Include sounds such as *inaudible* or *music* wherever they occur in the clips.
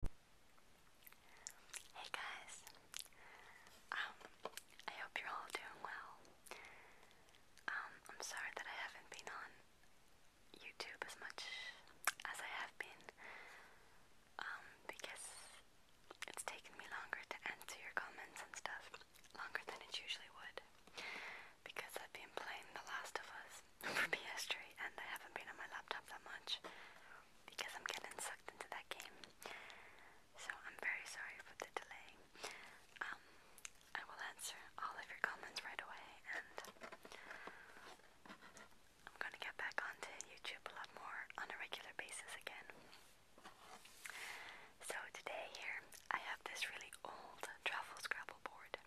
Hey guys, um, I hope you're all doing well. Um, I'm sorry that I haven't been on YouTube as much as I have been, um, because it's taken me longer to answer your comments and stuff, longer than it usually would, because I've been playing The Last of Us for PS3 and I haven't been on my laptop that much because I'm getting sucked into that game. So I'm very sorry for the delay. Um, I will answer all of your comments right away and I'm gonna get back onto YouTube a lot more on a regular basis again. So today here I have this really old travel scrabble board.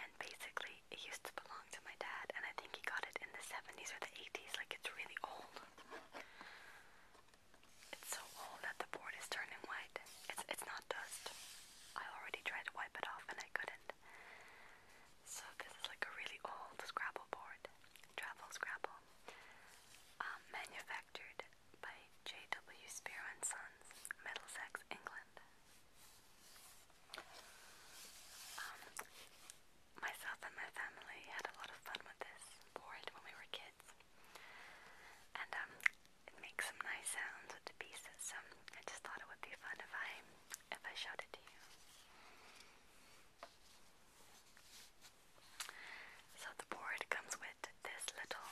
And basically, it used to belong to my dad, and I think he got it in the 70s or the 80s. Like, it's really old. It's so old that the board is turning white. It's, it's not dust. I already tried to wipe it off, and I couldn't. So, this is like a really old Scrabble board. Travel Scrabble. Um, manufactured by J.W. Spear and Sons, Middlesex, England. Um, myself and my family had a lot of fun with this board when we were kids. And um, it makes some nice sounds with the pieces, so um, I just thought it would be fun if I if I showed it to you. So the board comes with this little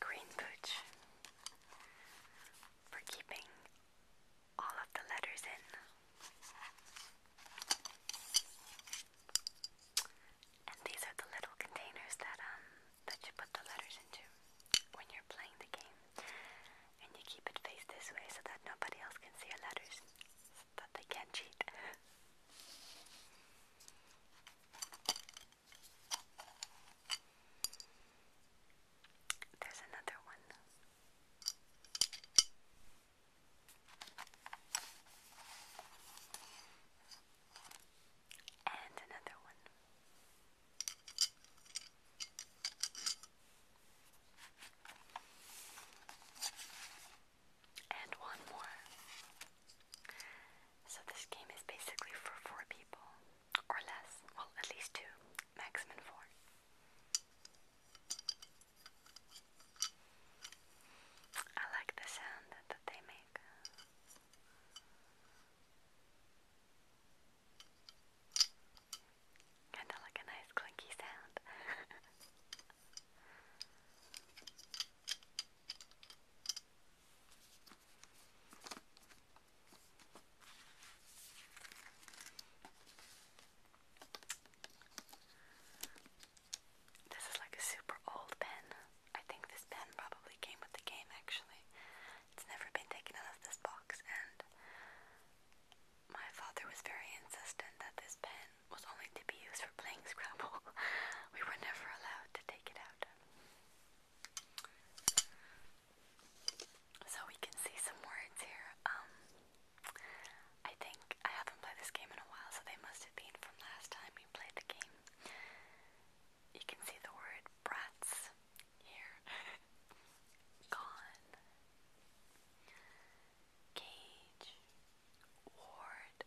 Green Pooch for keeping all of the letters in. And these are the little containers that um that you put the letters into when you're playing the game. And you keep it faced this way so that nobody else can see your letters. So that they can't cheat. *laughs* There's another one. And another one. And one more. So this game is basically for four people or less. Well, at least two, maximum four. I like the sound that they make. Kinda like a nice clinky sound. *laughs* This is like a super old pen. I think this pen probably came with the game actually. It's never been taken out of this box, and my father was very insistent that this pen was only to be used for playing *laughs* Scrabble. we were never allowed to take it out. So we can see some words here. Um, I think I haven't played this game in a while, so they must have been from last time we played the game. You can see the word brats here. *laughs* Gone. Cage. Ward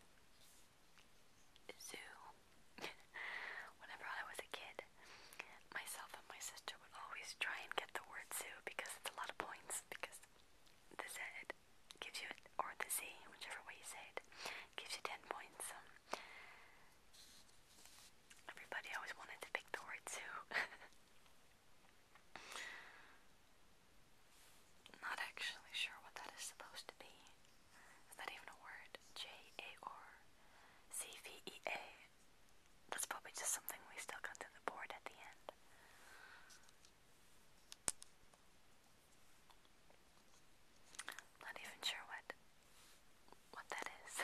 zoo. *laughs* Whenever I was a kid, myself and my sister would always try and get the word zoo because it's a lot of points. Because the Z gives you, or the Z, whichever way you say it, gives you 10 points. Um, everybody always wanted to pick the word zoo. *laughs* Not actually sure what that is supposed to be. Is that even a word? J A R C V E A. That's probably just something we stuck onto the board at the end. Not even sure what what that is.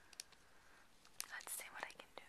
*laughs* Let's see what I can do.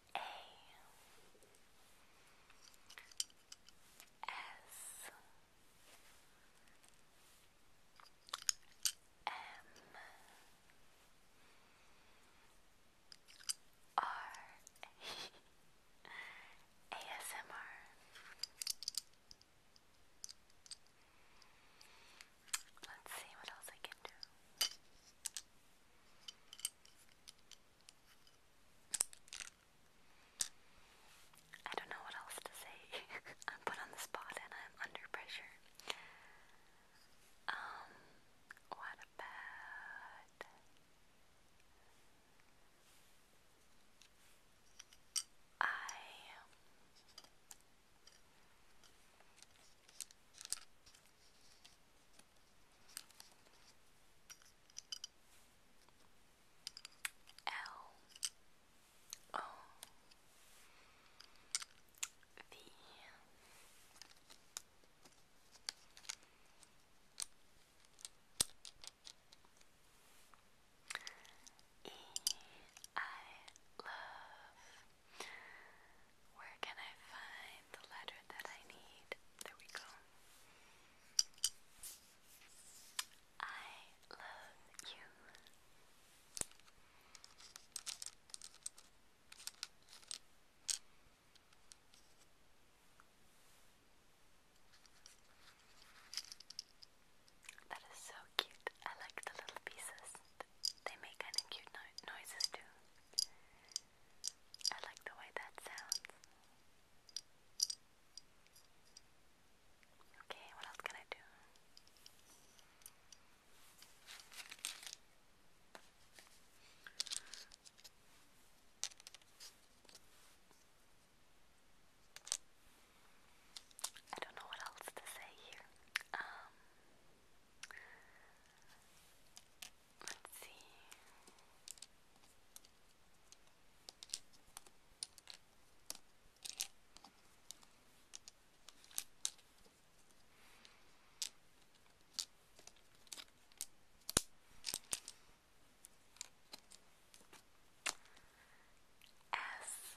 A S M R ASMR Let's see what else I can do. I don't know what else to say. *laughs* I'm put on the spot and I'm under pressure. Um, what about. I. L O V E I love. Where can I find the letter that I need? There we go. I love you. That is so cute. I like the little pieces. They make kind of cute noises too. I like the way that sounds. Okay, what else can I do? I don't know what else to say here. Um Let's see. S.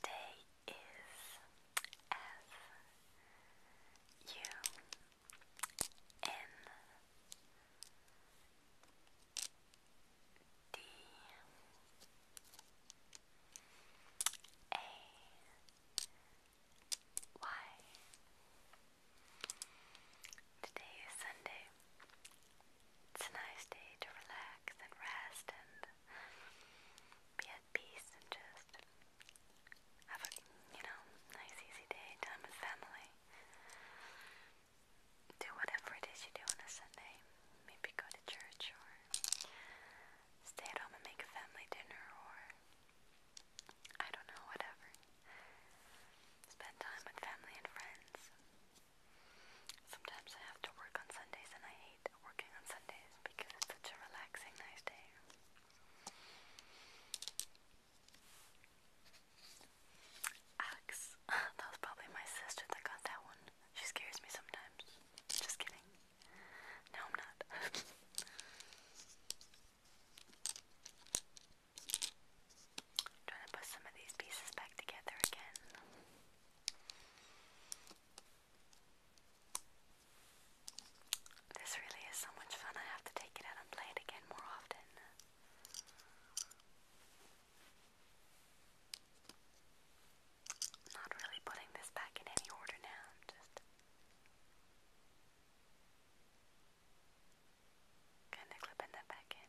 Today is F U N D A Y. Today is Sunday. It's a nice day to relax and rest and be at peace and just have a, you know, nice easy day, time with family. Do whatever it is you do on a Sunday. Maybe go to church or stay at home and make a family dinner or I don't know, whatever. Spend time with family and friends. Sometimes I have to work on Sundays and I hate at working on Sundays because it's such a relaxing, nice day. Alex, *laughs* that was probably my sister that got that one. She scares me sometimes. Just kidding. No, I'm not. *laughs* trying to put some of these pieces back together again. This really is so much fun, I have to take it out and play it again more often. not really putting this back in any order now, just kinda clipping that back in.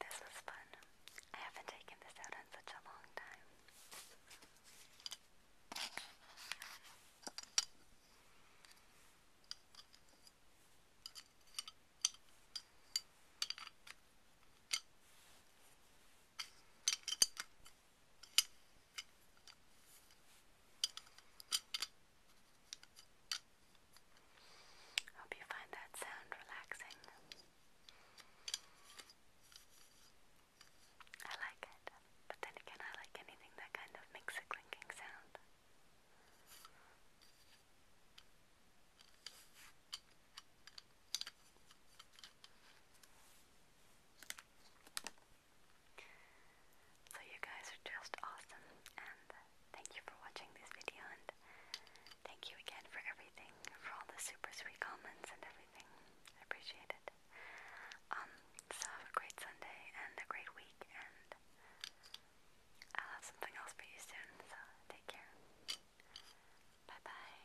This is fun. I haven't taken this out in such a long time. Hope you find that sound relaxing. I like it, but then again, I like anything that kind of makes a clinking sound. So you guys are just awesome and thank you for watching this video and thank you again for everything, for all the super sweet comments and everything. I appreciate it. Um, so have a great Sunday and a great week and I'll have something else for you soon, so take care. Bye bye.